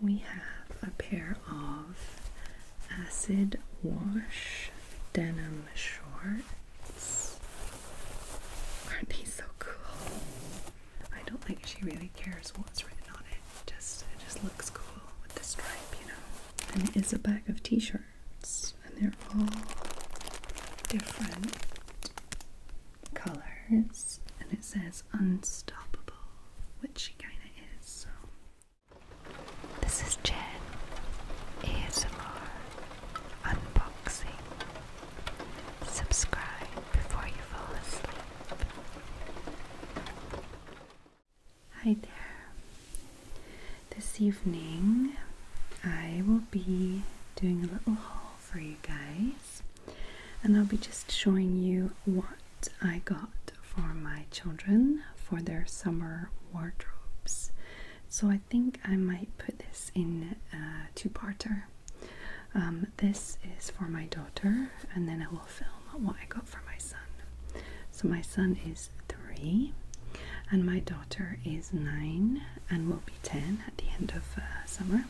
We have a pair of acid wash denim shorts. Aren't they so cool? I don't think she really cares what's written on it. Just it just looks cool with the stripe, you know. And it is a bag of t-shirts, and they're all different colors, and it says unstoppable which she kinda is, so. This is Jen ASMR Unboxing. Subscribe before you fall asleep. Hi there. This evening I will be doing a little haul for you guys and I'll be just showing you what I got for my children for their summer wardrobes. So I think I might put this in two-parter. Um, this is for my daughter and then I will film what I got for my son. So my son is three and my daughter is nine and will be ten at the end of uh, summer.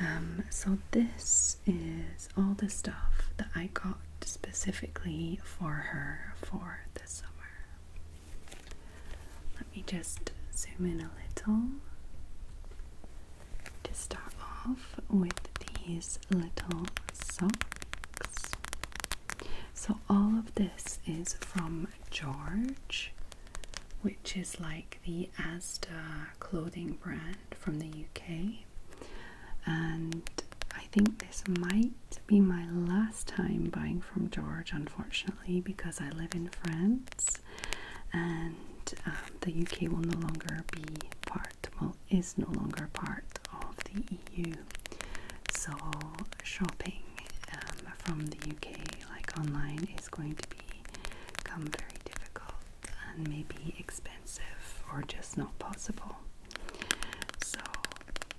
Um, so this is all the stuff that I got specifically for her for the summer. Let me just zoom in a little to start off with these little socks. So all of this is from George, which is like the Asda clothing brand from the UK, and I think this might be my last time buying from George, unfortunately, because I live in France and um, the UK will no longer be part, well, is no longer part of the EU. So, shopping um, from the UK, like online, is going to be become very difficult and maybe expensive or just not possible. So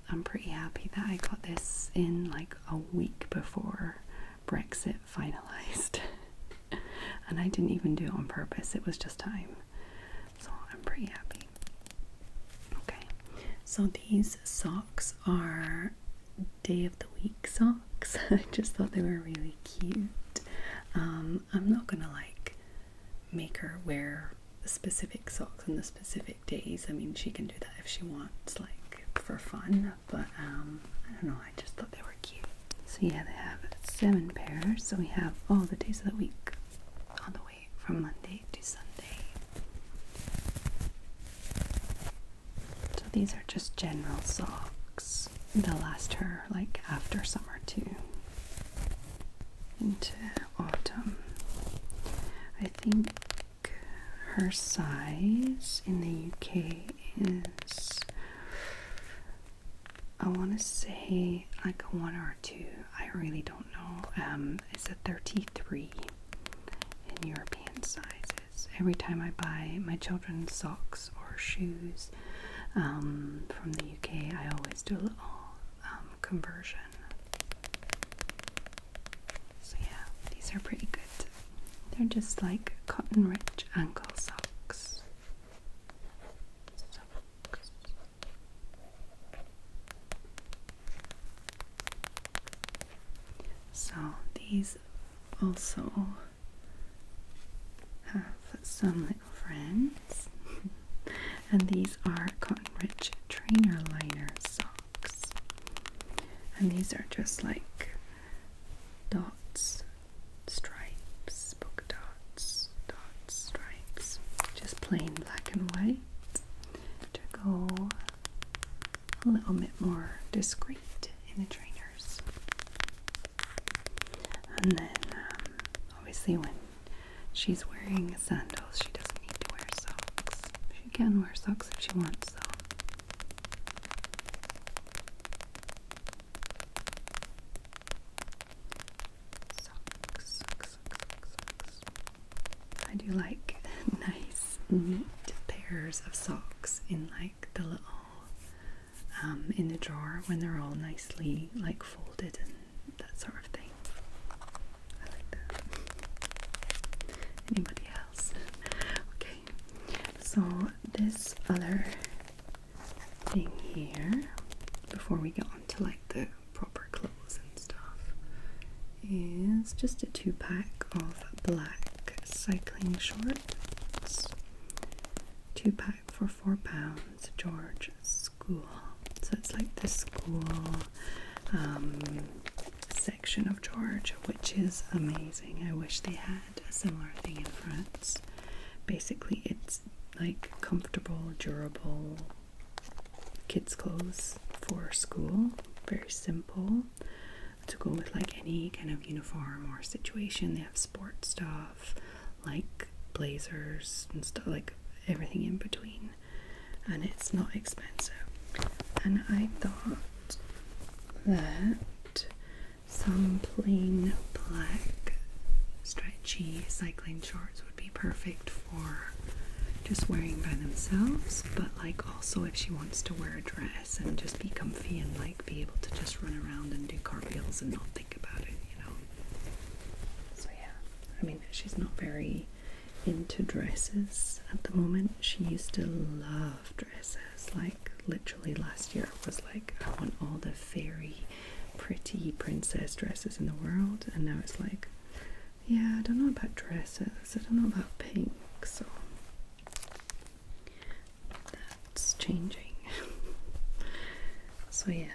I'm pretty happy that I got this in like a week before Brexit finalized. and I didn't even do it on purpose, it was just time. So I'm pretty happy. Okay, so these socks are day of the week socks. I just thought they were really cute. Um, I'm not gonna like make her wear the specific socks on the specific days. I mean, she can do that if she wants, like for fun. But um, I don't know. I just thought they were cute. So yeah, they have seven pairs. So we have all the days of the week on the way from Monday to Sunday. So these are just general socks they'll last her like after summer too into autumn. I think her size in the UK is I want to say like a one or two. I really don't know. Um, it's a 33 in European sizes. Every time I buy my children's socks or shoes um, from the UK, I always do a little um, conversion. So, yeah, these are pretty good. They're just like cotton rich ankle socks. socks. So, these also have some little friends, and these are Cotton Rich Trainer Liner socks, and these are just like dots, stripes, polka dots, dots, stripes, just plain black and white to go a little bit more discreet in the trainers. And then, um, obviously, when she's wearing sandals, she doesn't need to wear socks. She can wear socks if she wants, though. Socks, I do like nice, knit pairs of socks in like the little um, in the drawer when they're all nicely like folded and that sort of thing. Anybody else? Okay, so this other thing here, before we get on to like the proper clothes and stuff, is just a two pack of black cycling shorts. Two pack for four pounds, George School. So it's like the school um, section of George, which is amazing. I wish they had a similar thing in France. Basically, it's like comfortable, durable kids' clothes for school, very simple to go with like any kind of uniform or situation. They have sport stuff like blazers and stuff like everything in between, and it's not expensive. And I thought that some plain black stretchy cycling shorts would be perfect for just wearing by themselves, but like also if she wants to wear a dress and just be comfy and like be able to just run around and do cartwheels and not think about it, you know. So yeah, I mean she's not very into dresses at the moment. She used to love dresses. Like literally last year was like I want all the fairy pretty princess dresses in the world and now it's like yeah, I don't know about dresses. I don't know about pinks. So that's changing. so, yeah,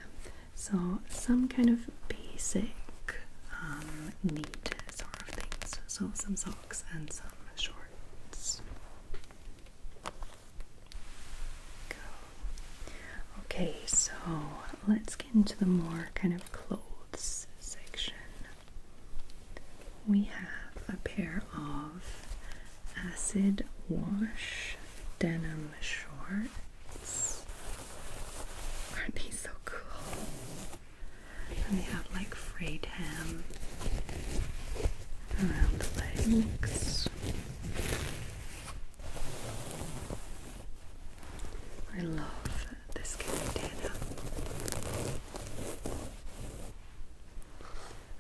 so some kind of basic um, neat sort of things. So, some socks and some shorts. Okay, so let's get into the more kind of clothes section we have a pair of acid wash denim shorts. Aren't these so cool? And they have like frayed hem around the legs. I love this kind of denim.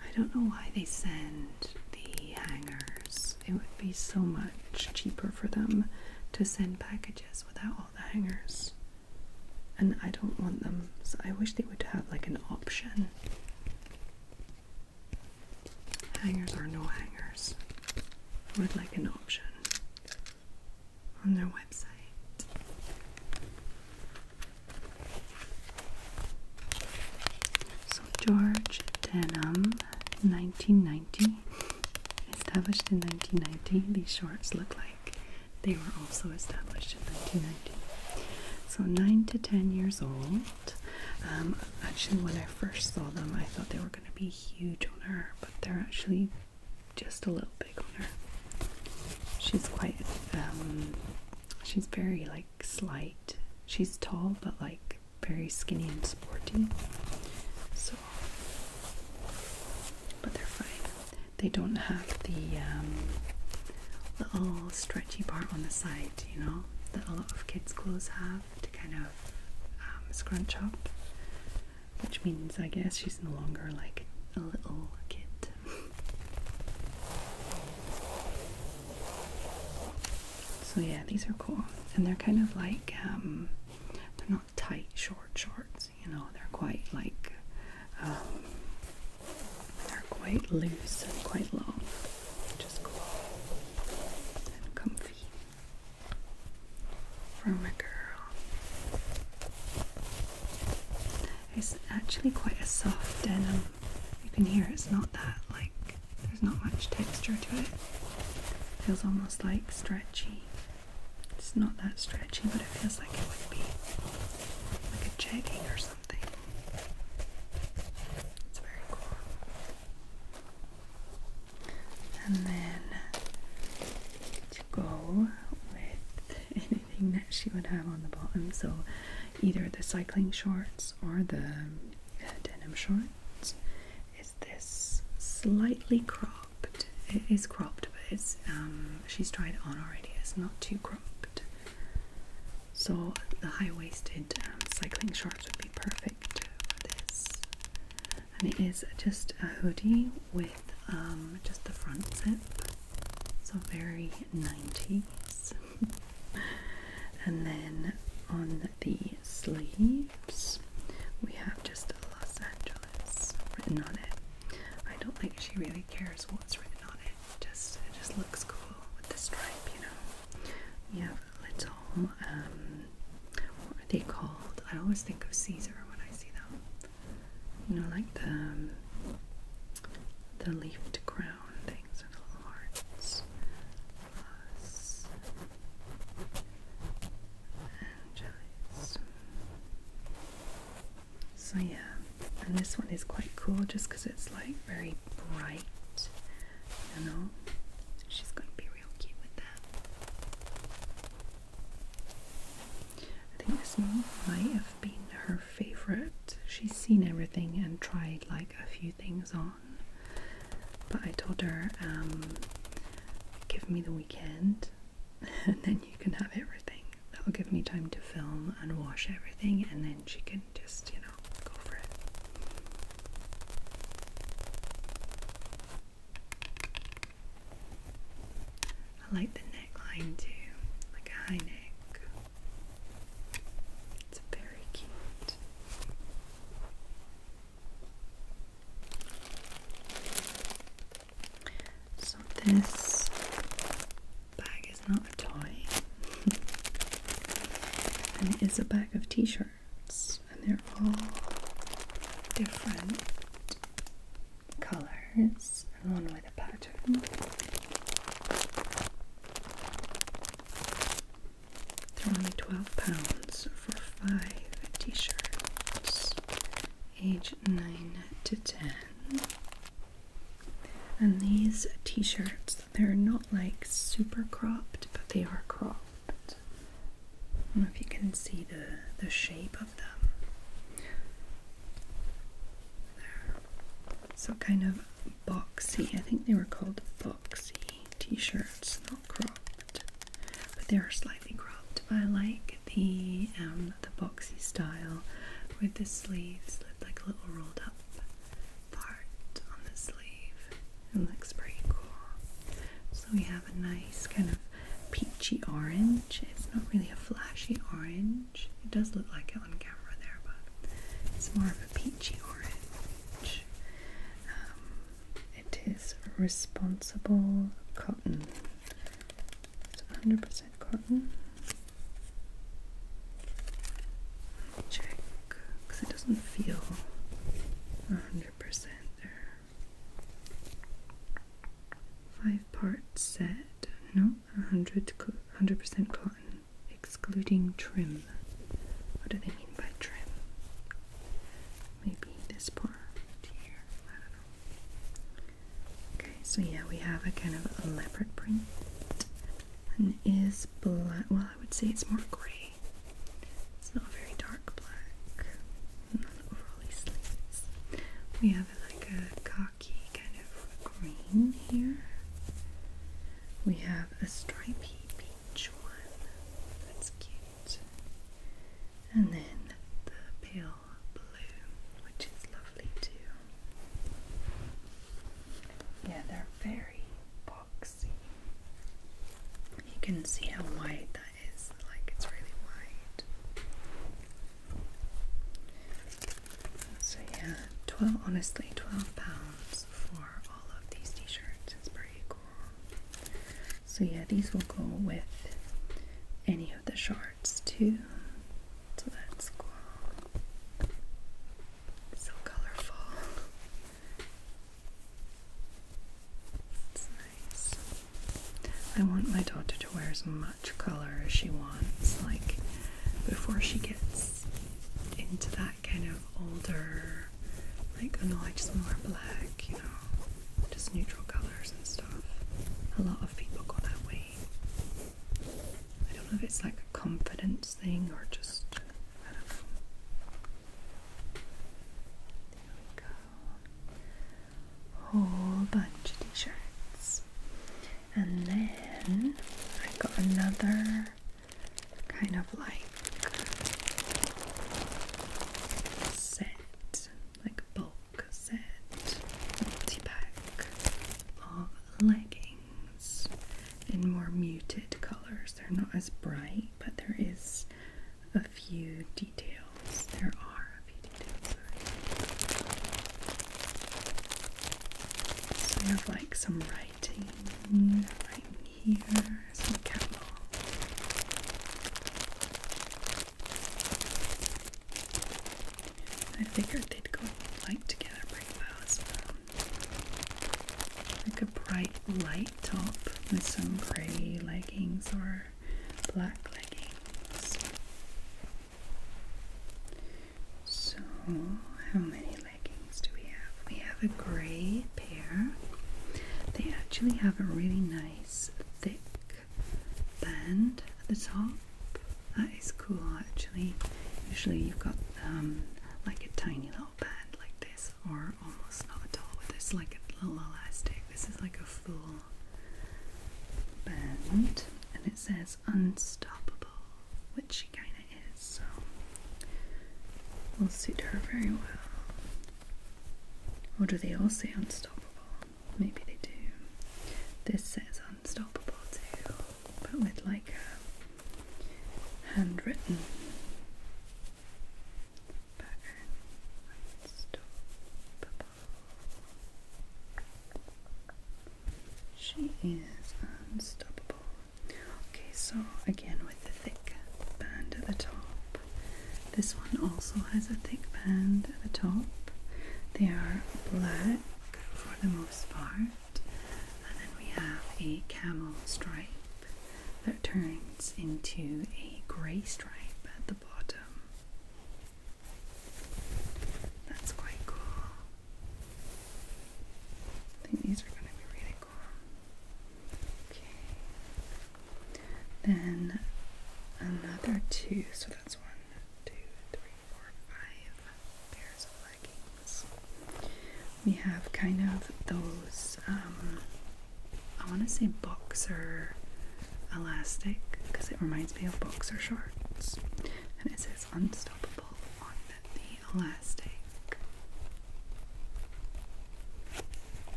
I don't know why they send the hangers. It would be so much cheaper for them to send packages without all the hangers. And I don't want them, so I wish they would have like an option. Hangers or no hangers, with like an option on their website. So George Denham, 1990, established in 1990. These shorts look like they were also established in 1990. So nine to ten years old. Um, actually, when I first saw them, I thought they were going to be huge on her, but they're actually just a little big on her. She's quite um, She's very like slight. She's tall but like very skinny and sporty. So, but they're fine. They don't have the um, little stretchy part on the side, you know, that a lot of kids' clothes have to kind of um, scrunch up. Which means, I guess, she's no longer like a little kid. So yeah, these are cool, and they're kind of like um, they're not tight short shorts. You know, they're quite like um, they're quite loose and quite long, which is cool and comfy from a girl. It's actually quite a soft denim. You can hear it's not that like there's not much texture to it. feels almost like stretchy. It's not that stretchy, but it feels like it would be like a jegging or something. It's very cool. And then to go with everything that she would have on the bottom. So either the cycling shorts or the uh, denim shorts is this slightly cropped. It is cropped, but it's um, she's tried it on already. It's not too cropped. So the high-waisted um, cycling shorts would be perfect for this. And it is just a hoodie with um, just the front zip so very 90s. and then on the sleeves, we have just Los Angeles written on it. I don't think she really cares what's written on it. Just it just looks cool with the stripe, you know. You have little um, what are they called? I always think of Caesar when I see them you know, like the um, the leafed crown things and the hearts, plus and jellies. So yeah, and this one is quite cool just because it's like very bright. You know, she's going to be real cute with that. I think this one might have been her favorite. She's seen everything and tried like a few things on. But I told her, um, give me the weekend and then you can have everything. That'll give me time to film and wash everything, and then she can just, you know, go for it. I like the neckline too, like a high neck. It's very cute. So this bag is not a toy. and it is a bag of t-shirts and they're all different colors and one with a pattern. They're only twelve pounds for five t-shirts, age nine to ten. And these t-shirts, they're not like super cropped, but they are cropped. I don't know if you can see the the shape of them. So kind of boxy. I think they were called boxy t-shirts, not cropped. But they are slightly cropped. But I like the um, the boxy style with the sleeves like a little rolled up part on the sleeve. It looks pretty cool. So we have a nice kind of peachy orange it's not really a flashy orange. It does look like it on camera there, but it's more of a peachy orange. Um, it is responsible cotton. It's 100% cotton. Check because it doesn't feel 100% there. Five parts set, no 100% cotton, excluding trim. What do they mean by trim? Maybe this part here, Okay, so yeah, we have a kind of a leopard print. And is black, well, I would say it's more gray. It's not very dark black. Not overly sleeves. We have like a khaki kind of green here. We have a stripey peach one. That's cute. And then the pale blue, which is lovely too. Yeah, they're very boxy. You can see how wide that is, like it's really wide. So yeah, twelve honestly, twelve pounds for all of these t-shirts is pretty cool. So yeah, these will go with any of the shorts too. So that's cool. So colorful. It's nice. I want my daughter to wear some of much colour as she wants. Like before she gets into that kind of older, like oh no, I just more black, you know, just neutral colours and stuff. A lot of people go that way. I don't know if it's like a confidence thing or just whole bunch of t-shirts. And then I got another kind of like set, like bulk set, multi-pack of leggings in more muted colours. They're not as bright, but there is a few details. There are feeding outside. like some writing right here, some catwalk. I figured they'd go light together pretty well as well. Like a bright light top with some grey leggings or black leggings. So, how many leggings do we have? We have a gray pair. They actually have a really nice thick band at the top. That is cool actually. Usually you've got um, like a tiny little band like this or almost not at all But this is like a little elastic. This is like a full and it says unstoppable, which she kind of is, so will suit her very well. Or do they all say unstoppable? Maybe they do. This says unstoppable too, but with like a handwritten pattern. Unstoppable. She is unstoppable. Okay, so again with the thick band at the top. This one also has a thick band at the top. They are black for the most part. And then we have a camel stripe that turns into a grey stripe at the bottom. That's quite cool. I think these are going to be really cool. Okay. Then another two. So that's one, two, three, four, five pairs of leggings. We have kind of those, um, I want to say boxer elastic because it reminds me of boxer shorts. And it says unstoppable on the elastic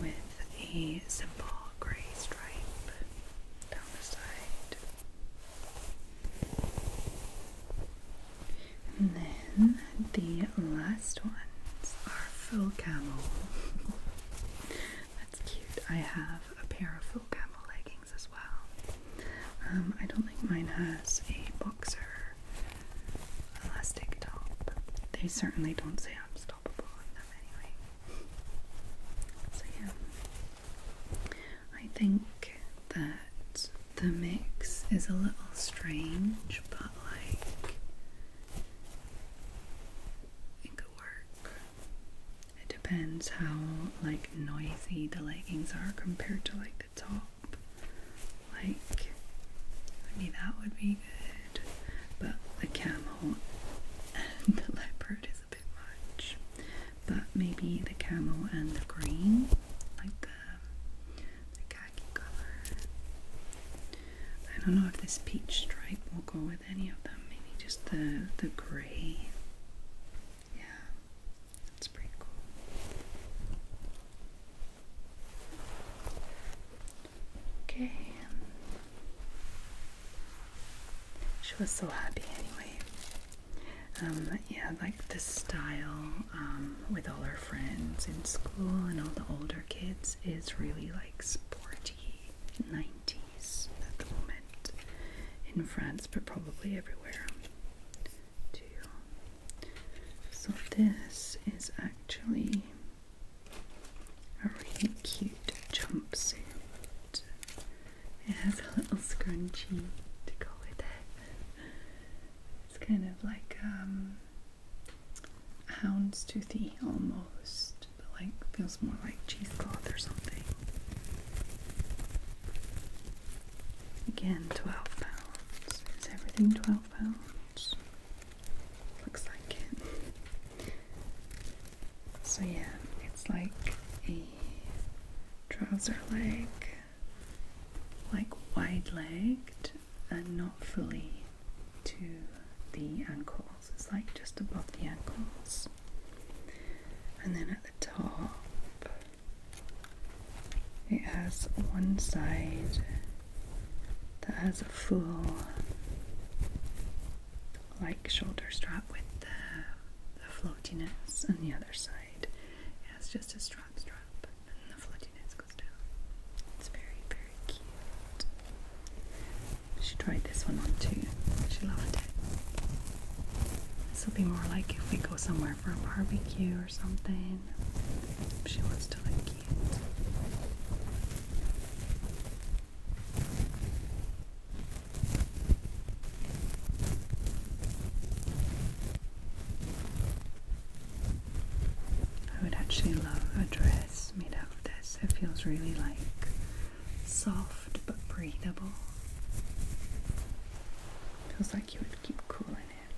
with a simple grey stripe down the side. And then the last ones are full camel. That's cute. I have a pair of full camel leggings as well. Um, I don't think mine has a boxer elastic top. They certainly don't say unstoppable on them anyway. So yeah, I think that the mix is a little strange, but like it could work. It depends how like noisy the leggings are compared to like the top. Like maybe that would be good. But the camel and the leopard is a bit much. But maybe the camel and the green, like the the khaki color. I don't know if this peach stripe will go with any of them. Maybe just the the gray. Yeah, that's pretty cool. Okay. She was so happy anyway. Um, yeah, like the style um, with all her friends in school and all the older kids is really like sporty 90s at the moment in France, but probably everywhere So, this is actually a really cute jumpsuit. It has a little scrunchie to go with it. It's kind of like um houndstoothy almost soft, but like feels more like cheesecloth or something. Again, 12 pounds. Is everything 12 pounds? Looks like it. So, yeah, it's like a trouser leg, like wide legged and not fully to the ankle. It's like just above the ankles. And then at the top, it has one side that has a full like shoulder strap with the, floatiness, and the other side has just a strap strap, and the floatiness goes down. It's very, very cute. She tried this one on too. She loved it. This will be more like if we go somewhere for a barbecue or something. She wants to like cute. I would actually love a dress made out of this. It feels really like soft but breathable. Feels like you would keep cooling in it.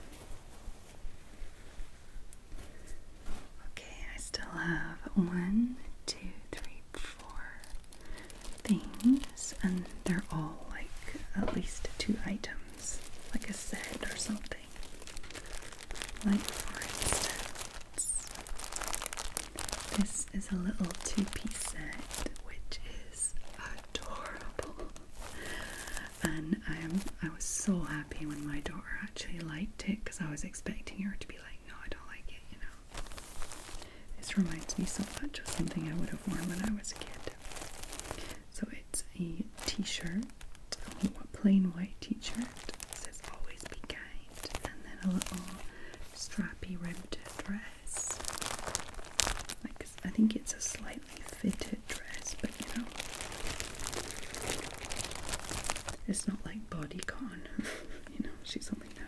Okay, I still have one, two, three, four things, and they're all like at least two items, like a set or something. Like, for instance, this is a little two piece set which is adorable. And I am I was so happy when my daughter actually liked it because I was expecting her to be like, no, I don't like it, you know. This reminds me so much of something I would have worn when I was a kid. So it's a t-shirt, a plain white t-shirt. says always be kind and then a little strappy ribbed dress. Like I think it's a slightly fitted dress, but you know, it's not like bodycon. you know, she's only nine.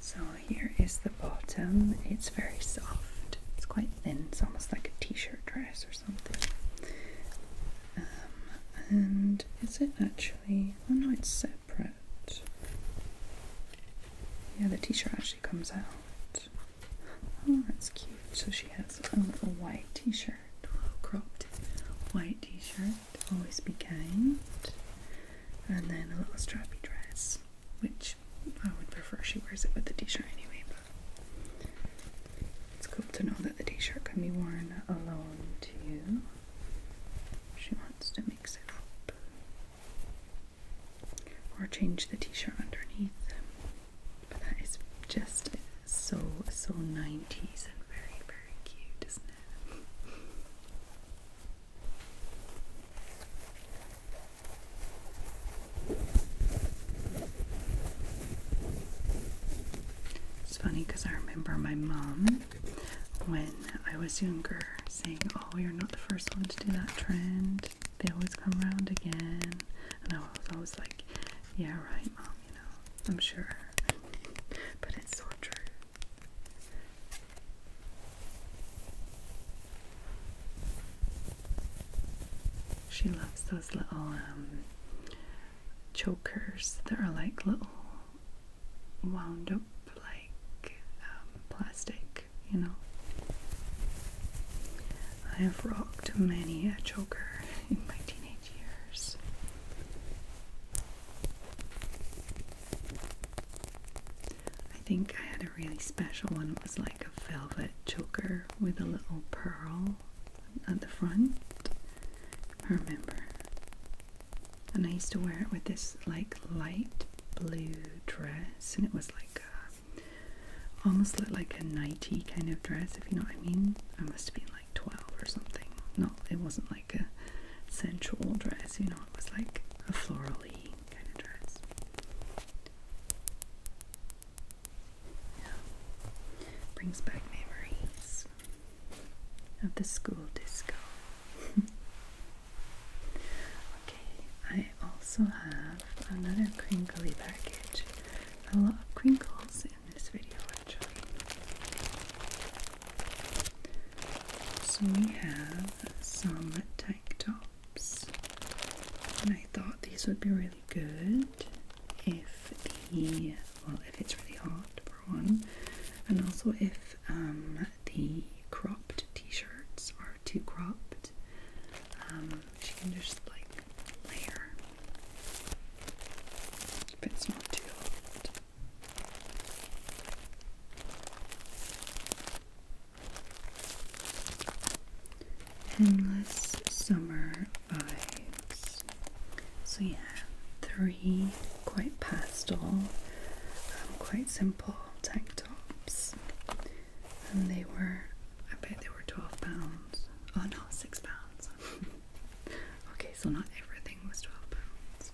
So here is the bottom. It's very soft. It's quite thin. It's almost like a t-shirt dress or something. Um, and is it actually actually, oh no, it's separate. Yeah, the t-shirt actually comes out. Oh, that's cute. So she has a little white t-shirt, a little cropped white t-shirt. Always be kind. And then a little strappy dress, which I would prefer she wears it with the t-shirt anyway. But it's cool to know that the t-shirt can be worn alone too. She wants to mix it up or change the t shirt underneath. But that is just so, so 90s and very, very cute, isn't it? It's funny because I remember my mom when I was younger saying, Oh, you're not the first one to do that trend, they always come around again. And I was always like, Yeah, right, mom, you know, I'm sure. But it's so true. She loves those little um, chokers that are like little wound up like um, plastic, you know. I have rocked many a choker in my teenage years. I think I had a really special one. It was like a velvet choker with a little pearl at the front. I remember and I used to wear it with this like light blue dress, and it was like uh, almost looked like a nighty kind of dress, if you know what I mean. I must have been like 12 or something. No, it wasn't like a sensual dress, you know, it was like a florally kind of dress. Yeah. Brings back memories of the school disco. okay, I also have another crinkly package. A lot of crinkles in this video So we have some tank tops, and I thought these would be really good if the if it's really hot for one, and also if um, the cropped t-shirts are too cropped, um, she can just like layer if it's not too hot. Endless summer so yeah, three quite pastel, um, quite simple tank tops, and they were I bet they were twelve pounds. Oh no, six pounds. okay, so not everything was twelve pounds.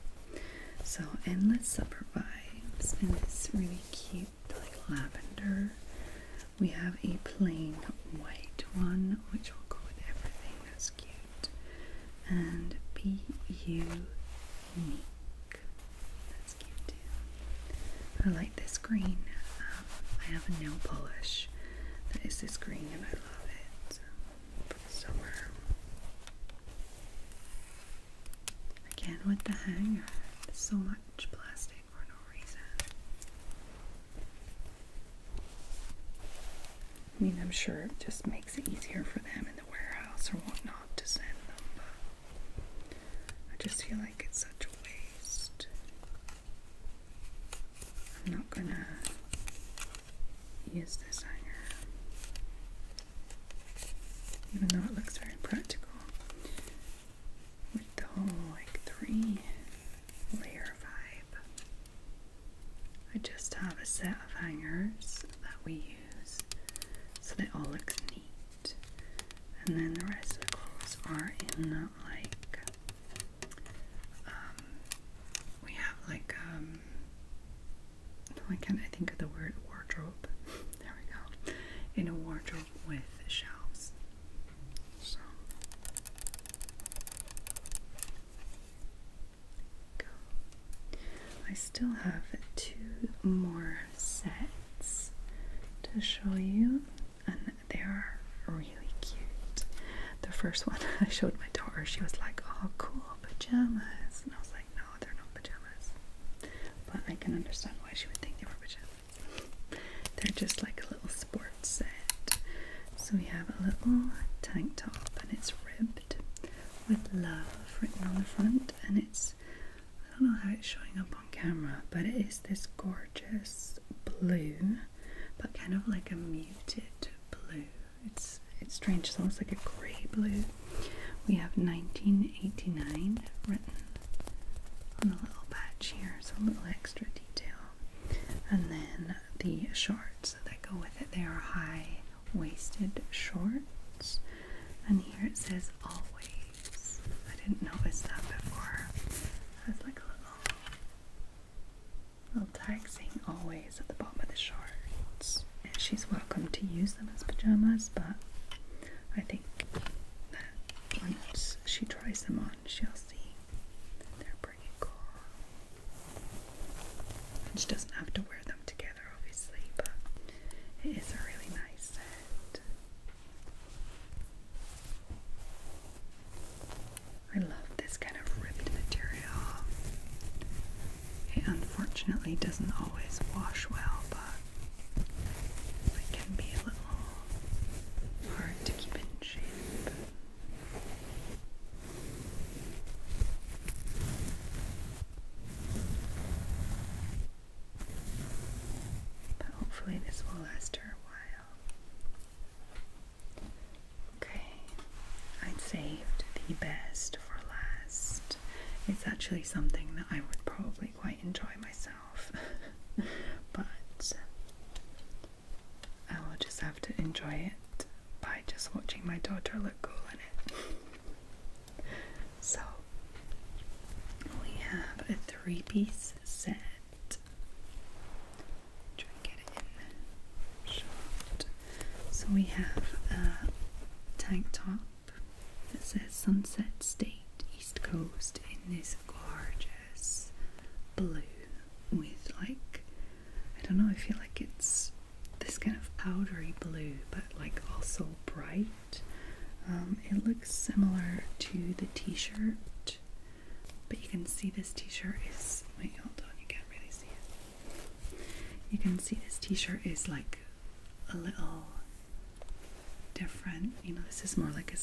So endless supper vibes, and this really cute like lavender. We have a plain white one, which will go with everything cute. And P U Unique. That's cute too. I like this green. Um, I have a nail polish that is this green and I love it for the summer. Again with the hanger. so much plastic for no reason. I mean, I'm sure it just makes it easier for them in the warehouse or whatnot to send them, but I just feel like it's such a waste. I'm not gonna use this hanger, even though it looks very practical with the whole like three layer vibe. I just have a set of hangers that we use so they all look neat. And then the rest of the clothes are in like, um, we have like, um, why oh, can't I think of the word wardrobe? there we go. In a wardrobe with shelves. So. Go. I still have two more sets to show you, and they are really cute. The first one I showed my daughter, she was like, Oh, cool pajamas, and I was like, No, they're not pajamas, but I can understand why she would think they were pajamas. They're just like a little sport set. So we have a little tank top and it's ribbed with love written on the front and it's I don't know how it's showing up on camera, but it is this gorgeous blue, but kind of like a muted blue. It's it's strange, it's almost like a grey blue. We have 1989 written on a little patch here, so a little extra detail. And then the shorts shorts go with it. They are high waisted shorts. And here it says always. I didn't notice that before. That's like a little, little tag saying always at the bottom of the shorts. And she's welcome to use them as pajamas, but I think that once she tries them on, sponge, you'll see. They're pretty cool. And she doesn't have to wear them together, obviously, but it is a really nice set. I love this kind of ribbed material. It unfortunately doesn't always wash well, but it can be a little hard to keep in shape. But hopefully, this will last her a while. Okay, I saved the best for last. It's actually something that I would probably quite enjoy myself, but I will just have to enjoy it by just watching my daughter look cool in it. so, we have a three piece set. Try and get it in So, we have a tank top that says Sunset State East Coast in this gorgeous blue with like I don't know, I feel like it's this kind of powdery blue, but like also bright. Um, it looks similar to the t-shirt, but you can see this t-shirt is wait, hold on, you can't really see it. You can see this t-shirt is like a little different. You know, this is more like a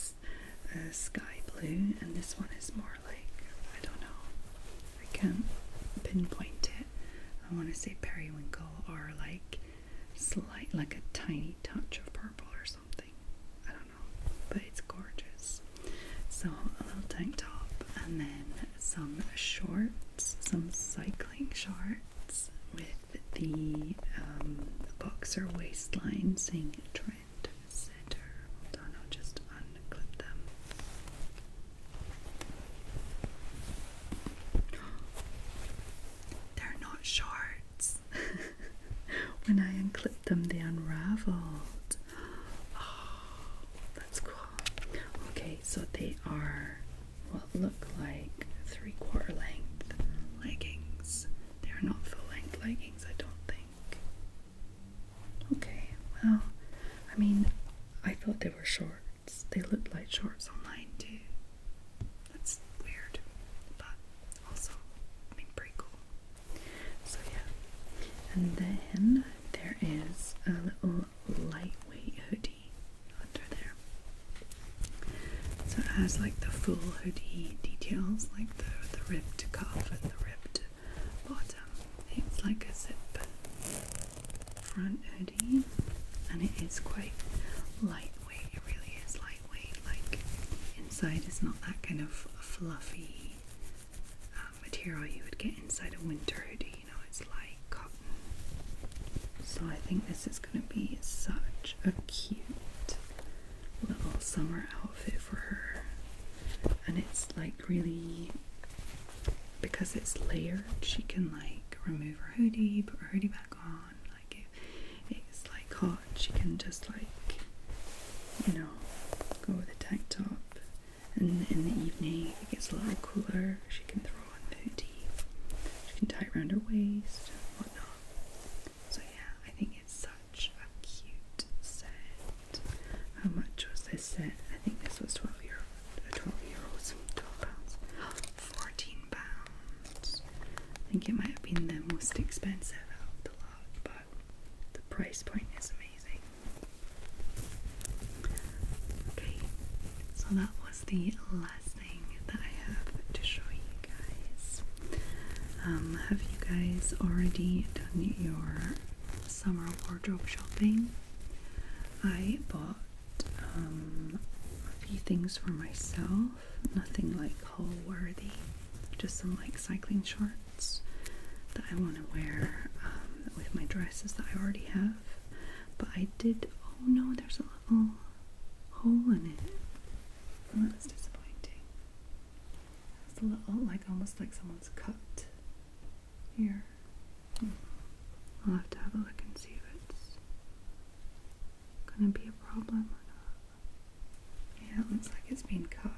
uh, sky blue, and this one is more like, I don't know, I can't pinpoint it. I want to say periwinkle or like slight, like a tiny touch of purple or something. I don't know, but it's gorgeous. So a little tank top and then some shorts, some cycling shorts with the, um, boxer waistline saying trend and center. Hold just unclip them. They're not shorts. when I unclip them, they unraveled. Oh, that's cool. Okay, so they are what look like three quarter length leggings. They are not full length leggings, I don't think. Okay, well, I mean, I thought they were shorts. They looked like shorts online too. That's weird, but also, I mean, pretty cool. So, yeah. And then there is a little lightweight hoodie under there. So it has like the full hoodie details, like the, the ribbed cuff and the ribbed bottom. It's like a zip front hoodie and it is quite lightweight. It really is lightweight. Like inside it's not that kind of fluffy um, material you would get inside a winter hoodie. You know, it's like cotton. So I think this is going to be such a cute little summer outfit for her and it's like really because it's layered she can like remove her hoodie put her hoodie back on like if it's like hot she can just like you know go with a tank top and in the evening it gets a little cooler she can throw on the hoodie she can tie it around her waist whatnot so yeah I think it's a cute set. How much was this set? I think this was 12 euro, uh, 12 euros, 12 pounds, 14 pounds. I think it might have been the most expensive out of the lot, but the price point is amazing. Okay, so that was the last thing that I have to show you guys. Um, have you guys already done your summer wardrobe shopping, I bought um, a few things for myself. Nothing like haul worthy, just some like cycling shorts that I want to wear um, with my dresses that I already have. But I did. Oh no, there's a little hole in it. Well, that's disappointing. It's a little like almost like someone's cut here. Hmm. I'll have to have a look and see if it's gonna be a problem or not. Yeah, it looks like it's been cut.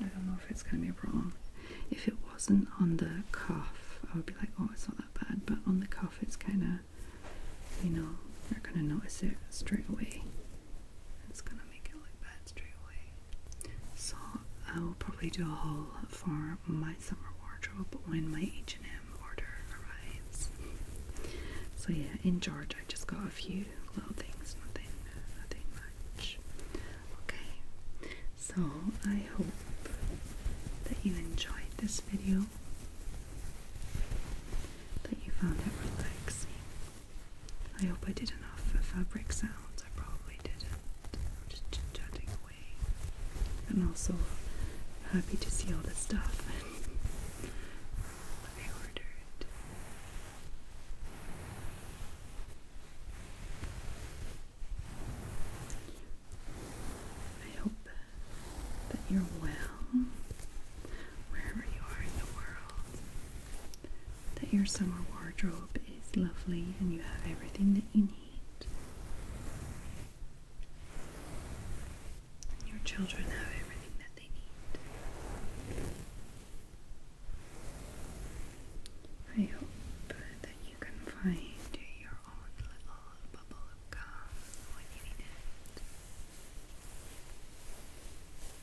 I don't know if it's gonna be a problem. If it wasn't on the cuff, I would be like, oh, it's not that bad. But on the cuff, it's kind of, you know, not gonna notice it straight away. It's gonna make it look bad straight away. So I will probably do a haul for my summer wardrobe when my H&M order arrives. So yeah, in Georgia, I just got a few little things, nothing, nothing much. Okay, so I hope that you enjoyed this video, that you found it relaxing I hope I did enough fabric sounds. I probably didn't. I'm away. And also, happy to see all this stuff I ordered. I hope that you're well wherever you are in the world that your summer wardrobe is lovely and you have everything that you need. Your children have everything that they need. I hope that you can find your own little bubble of calm